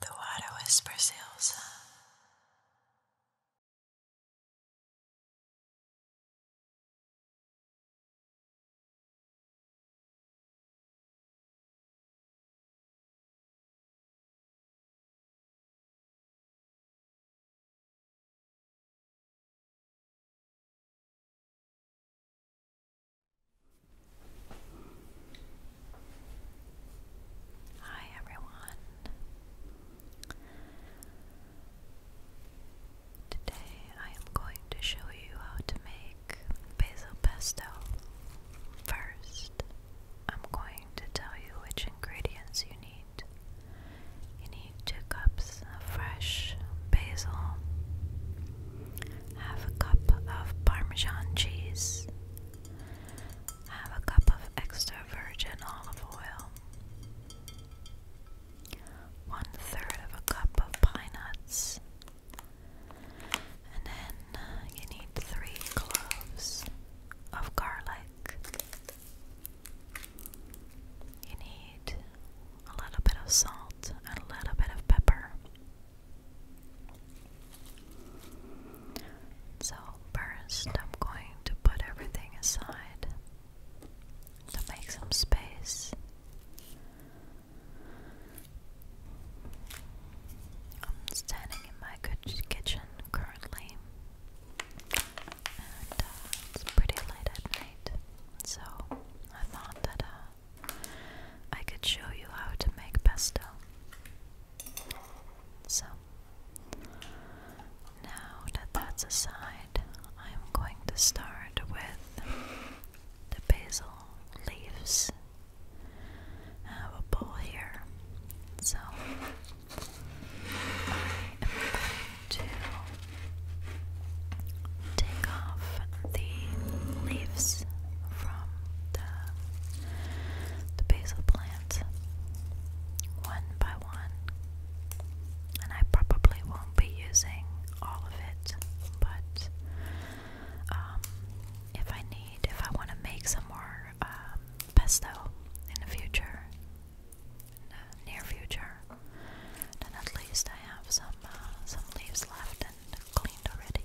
The water whispers Elsa. Hi everyone. Today I am going to show you how to make basil pesto. First, I'm going to tell you which ingredients you need. You need 2 cups of fresh basil, half a cup of parmesan cheese, have a cup of extra virgin olive oil. One third of a cup of pine nuts. And then you need three cloves of garlic. You need a little bit of salt and a little bit of pepper. So, first, I'm going to put everything aside to make some space. I'm standing in my kitchen currently, and uh, it's pretty late at night, so I thought that uh, I could show you how to make pesto. So, now that that's aside, I'm going to start with the basil leaves. I have a bowl here, so I am going to take off the leaves from the, the basil plants one by one. And I probably won't be using all of it, but um, if I need, if I want to make some more um, pesto in the future, near future, then at least I have some uh, some leaves left and cleaned already.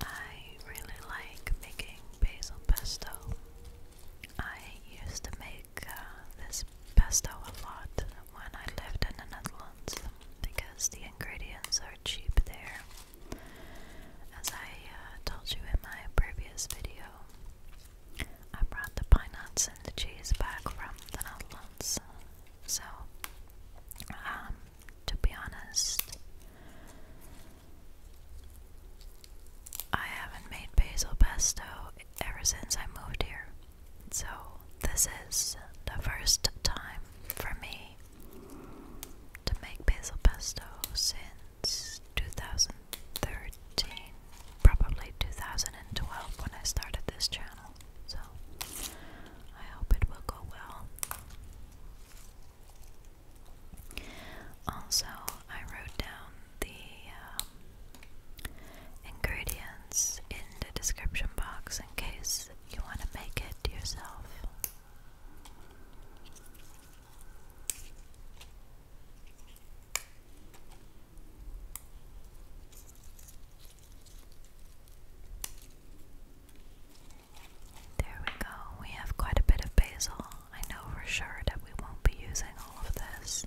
I really like making basil pesto. I used to make uh, this pesto a lot when I lived in the Netherlands because the ingredients are cheap there. As I uh, told you in my previous video, I brought the pine nuts and the cheese back from the Netherlands. So, um, to be honest, I haven't made basil pesto ever since I moved here. So, this is the first time for me to make basil pesto since 2013, probably 2012 when I started this channel. So, I hope it will go well. Also, I wrote down the um, ingredients in the description box in case you want to make it yourself. There we go. We have quite a bit of basil. I know for sure that we won't be using all of this.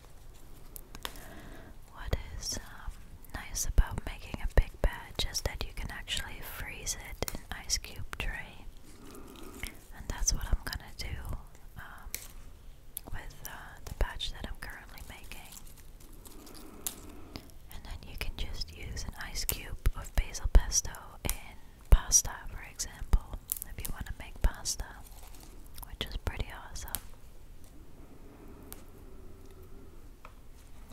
What is um, nice about making a big batch is that you can actually freeze it in ice cube tray, and that's what I'm gonna do um, with uh, the batch that I'm currently making. And then you can just use an ice cube of basil pesto in pasta, for example, if you want to make pasta which is pretty awesome.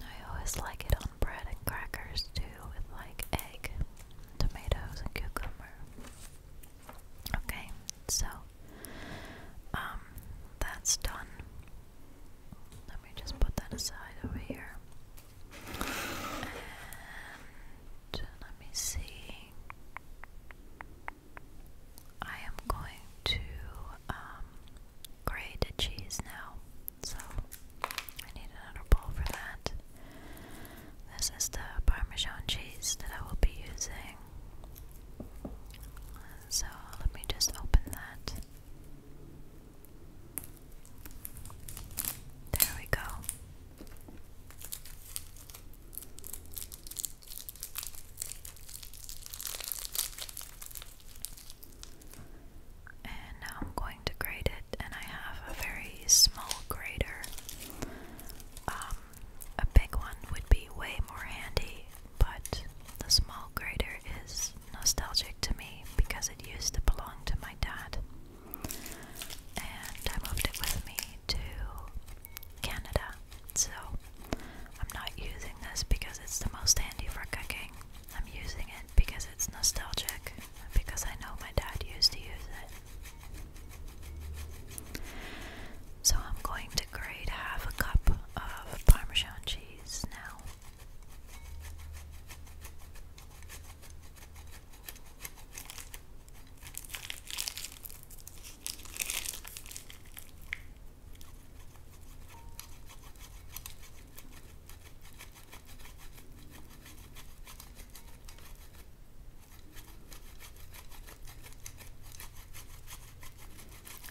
I always like it on bread and crackers too, with like egg, tomatoes, and cucumber. Okay, so um, that's done. Let me just put that aside over here. And let me see. I am going to um, grate a cheese now, so I need another bowl for that. This is the Parmesan cheese that I will be using. So let me just open that. There we go. And now I'm going to grade it, and I have a very small grader. Um, a big one would be way more handy, but the small grader is nostalgic to me because it used to belong to my dad. And I moved it with me to Canada so I'm not using this because it's the most handy for cooking. I'm using it because it's nostalgic, because I know my dad used to use it. So I'm going to grate half a cup of Parmesan cheese now.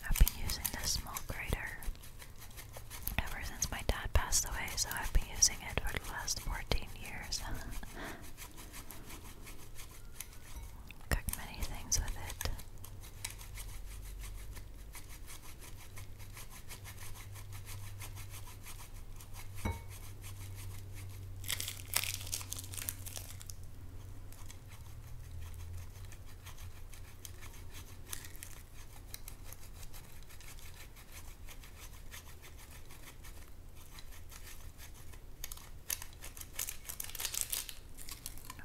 I've been using this small grater ever since my dad passed away, so I've been using it for the last 14 years. Cook many things with it.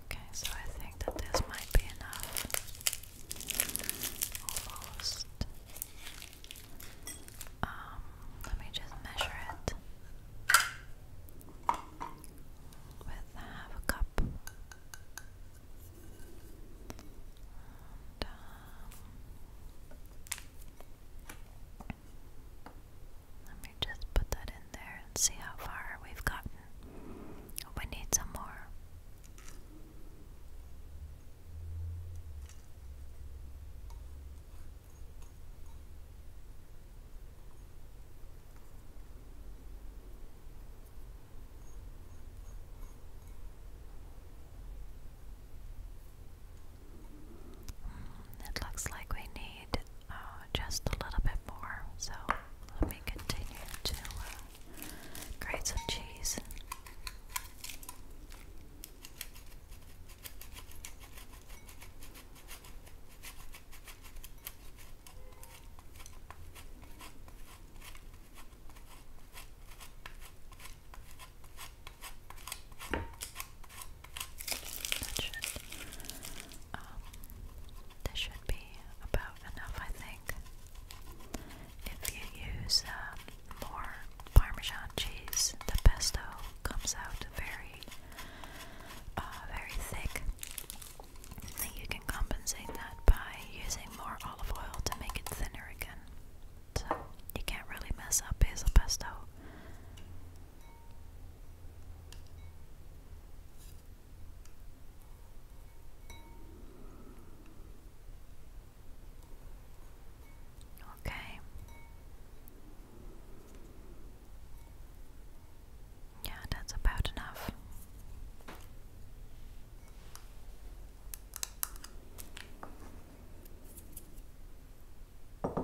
Okay, so I think that this might be enough. Almost. Um, let me just measure it with half a cup. And, um, let me just put that in there and see how far we've gotten. Oh, we need some more. Mm, it looks like we need uh, just a little bit more, so let me continue to uh, grate some cheese this um, should be about enough, I think. If you use um, more Parmesan cheese, the pesto comes out very, uh, very thick. you can compensate that by using more olive oil to make it thinner again so you can't really mess up his pesto. Okay. Yeah, that's about enough. Okay,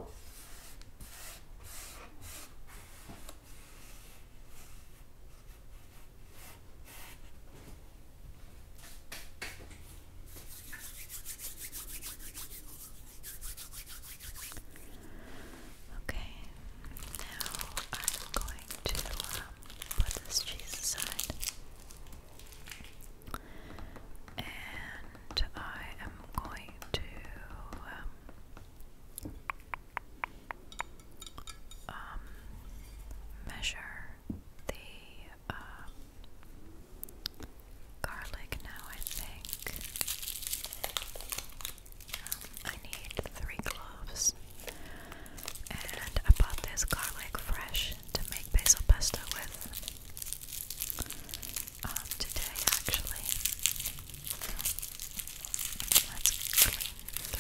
now I'm going to um, put this cheese aside and I am going to um, um measure the um, garlic now. I think um, I need three cloves, and I bought this garlic fresh to make basil pesto with. Um, today actually. Let's clean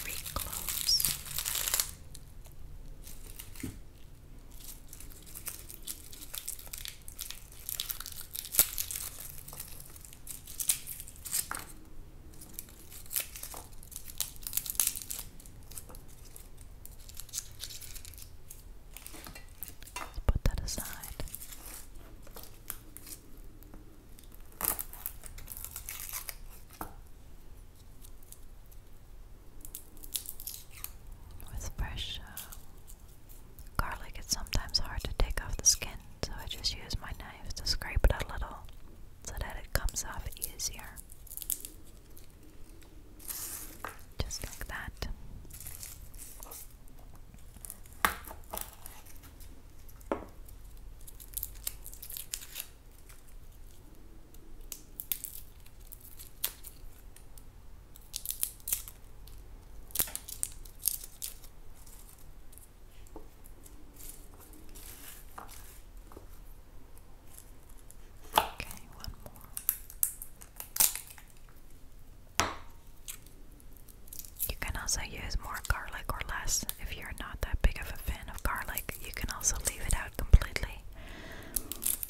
three cloves put that aside. With fresh uh, garlic, it's sometimes hard to take off the skin, so I just use my knife to scrape it a little so that it comes off easier. Just like that. Okay, one more. You can also use more garlic or less if you're not that big of a fan of garlic. You can also leave it out completely,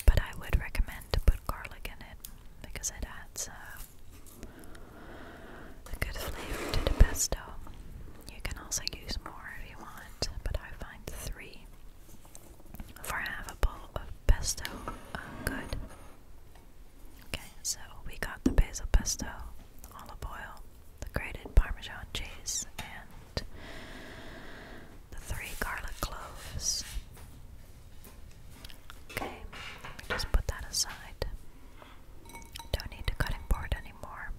but I would recommend to put garlic in it because it adds uh, a good flavor to the pesto. You can also use more if you want, but I find three for half a bowl of pesto uh, good. Okay, so we got the basil pesto, olive oil, the grated parmesan cheese, and the three garlic cloves. Okay, just put that aside. Don't need a cutting board anymore.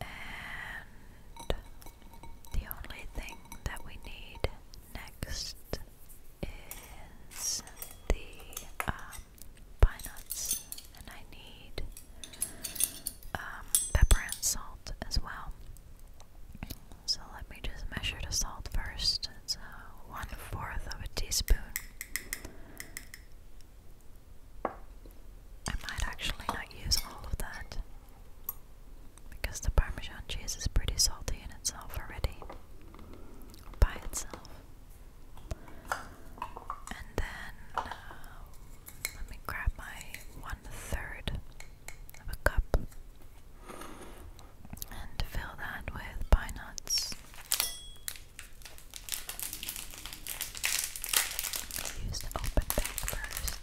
And the only thing that we need next is the um, pine nuts, and I need um, pepper and salt as well. So let me just measure the salt first. It's one fourth of a teaspoon. I might actually not use all of that because the Parmesan cheese is pretty salty in itself already, by itself. And then uh, let me grab my one third of a cup and fill that with pine nuts. Use the open bag first.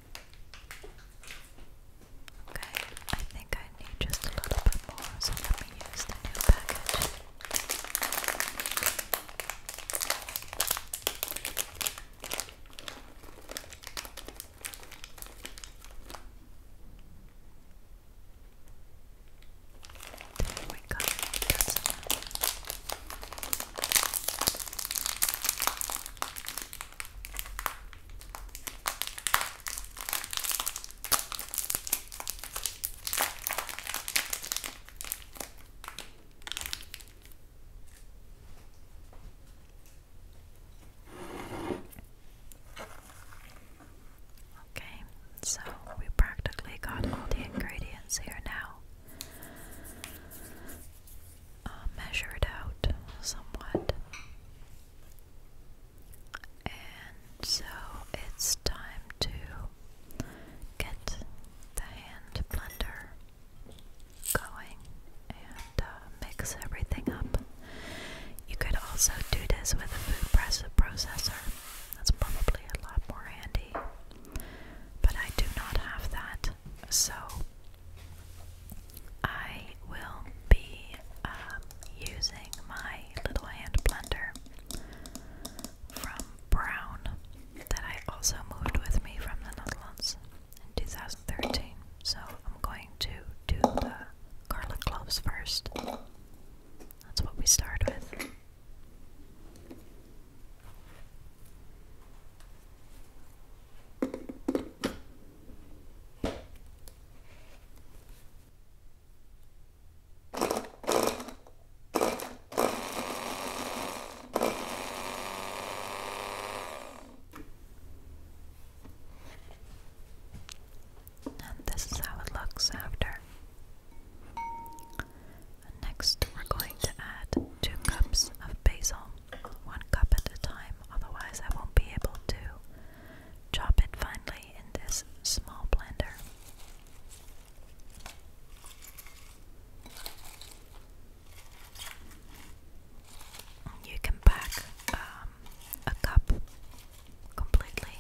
Okay, I think I need just a little bit more, so let me use the new package. There we go. Okay, so we practically got all the ingredients here now. Uh, measured out somewhat. And so it's time to get the hand blender going and uh, mix everything up. You could also do this with a food press processor. That's probably a lot more handy. But I do not have that, so I will be um, using my little hand blender from Brown that I also moved with me from the Netherlands in 2013. So I'm going to do the garlic cloves first. That's what we start with. And this is how it looks after. Next, we're going to add two cups of basil, one cup at a time otherwise I won't be able to chop it finely in this small blender. You can pack um, a cup completely.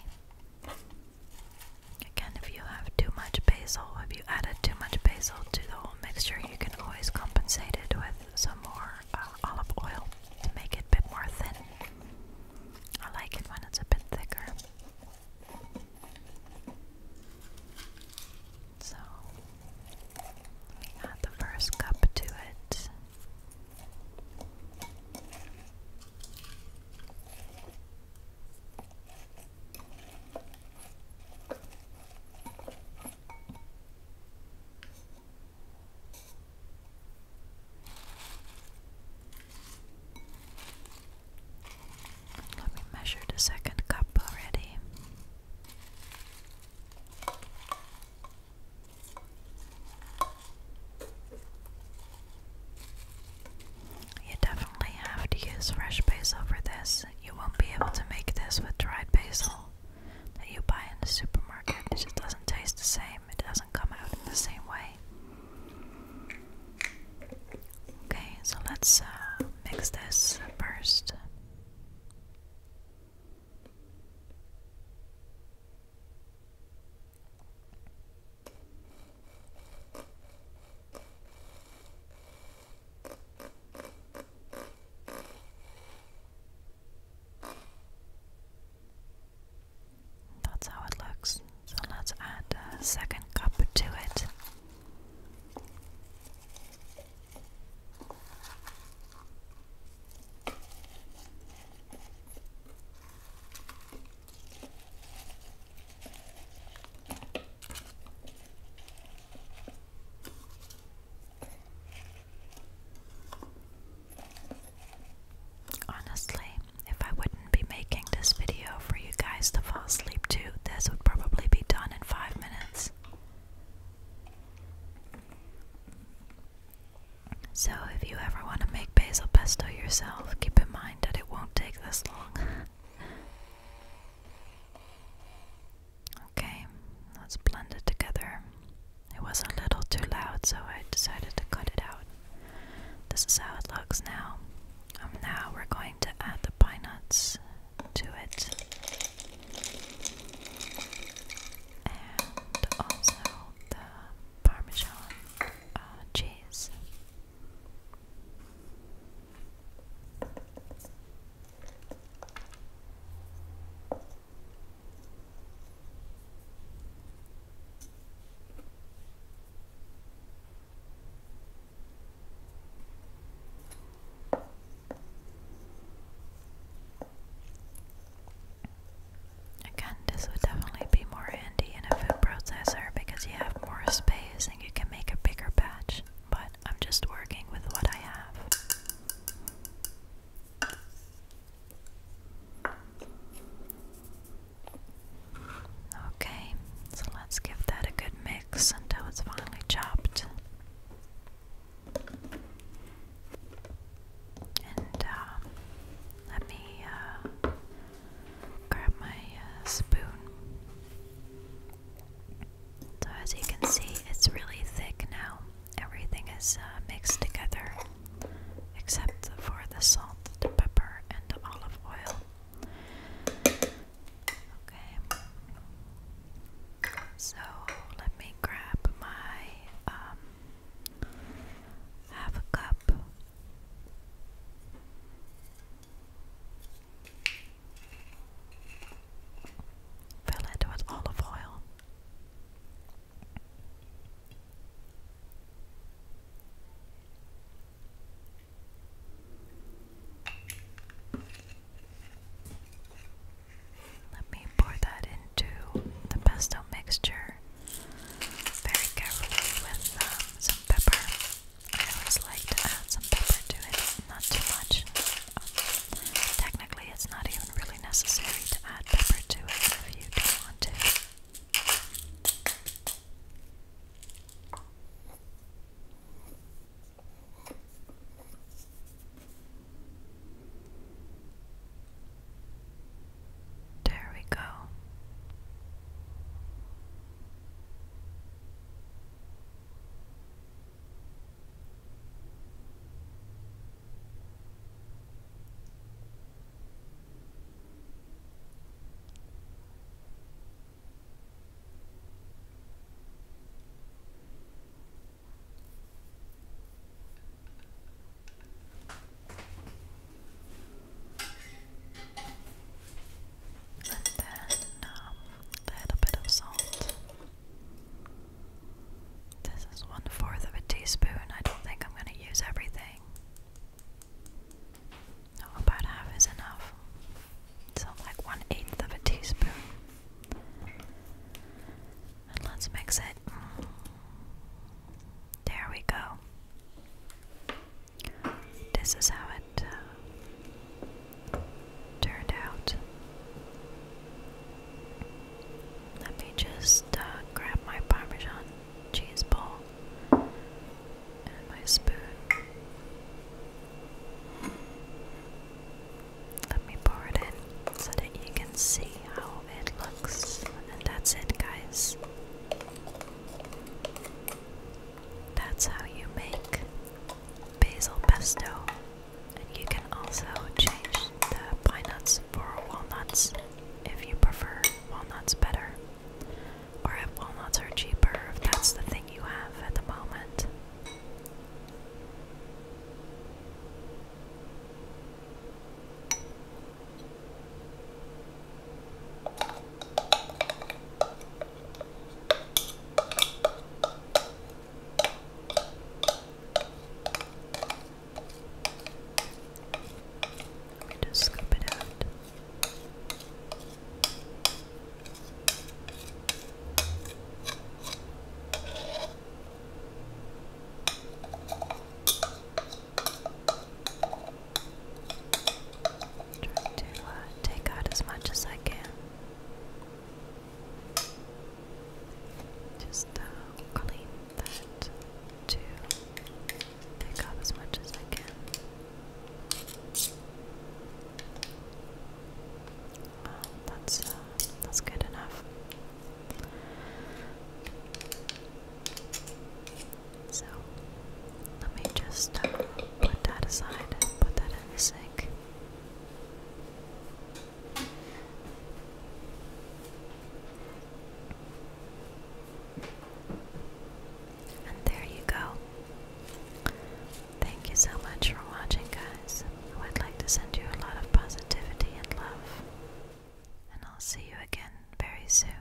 Again, if you have too much basil, if you added too much basil to the whole mixture, you can always compensate it with some more uh, olive oil to make it a bit more thin. I like it when it's a bit thicker. So, let add the first cup to it. Let me measure the second cup already. You definitely have to use fresh basil for this. You won't be able to make this with dried basil that you buy in the supermarket. It just doesn't taste the same, it doesn't come out in the same way. Okay, so let's uh, mix this first. That's how it looks. So let's add a second cup to it. Honestly, if I wouldn't be making this video for you guys to fall asleep to, this would probably be done in five minutes. So, if you ever want to make basil pesto yourself, keep in mind that it won't take this long. Okay, let's blend it together. It was a little too loud, so I decided to cut it out. This is how it looks now. Um, now we're going to add the pine nuts to it. And also the parmesan uh, cheese. Again, this would definitely be more handy in a food processor because you have more space and you can make a bigger batch but I'm just working with what I have. Okay, so let's give that a good mix until it's finally chopped. And um, let me uh, grab my uh, spoon. So, as you can see, it's really thick now. Everything is uh, mixed together except for the salt, the pepper, and the olive oil. Okay, so let me grab my um, half a cup. Fill it with olive oil. Let me pour that into the pesto mixture very carefully with um, some pepper. I always like to add some pepper to it not too much. Um, technically, it's not even really necessary to add pepper to it if you don't want to. There we go. And then um, a little bit of salt. This is one fourth of a teaspoon. I don't think I'm going to use everything. No, about half is enough. So, like one eighth of a teaspoon. And let's mix it. There we go. This is how it uh, turned out. Let me just uh, grab my Parmesan cheese ball and my spoon. Let me pour it in so that you can see how it looks. And that's it, guys. That's how you make basil pesto you can also change the pine nuts for walnuts if you prefer walnuts better. Or if walnuts are cheaper, if that's the thing you have at the moment. We just scoop it out. Try to uh, take out as much as I can. Just uh, clean that to pick up as much as I can. Wow, oh, that's uh, that's good enough. So let me just uh, put that aside, and put that in the sink. And there you go. Thank you so much for watching, guys. Oh, I would like to send you a lot of positivity and love. And I'll see you again very soon.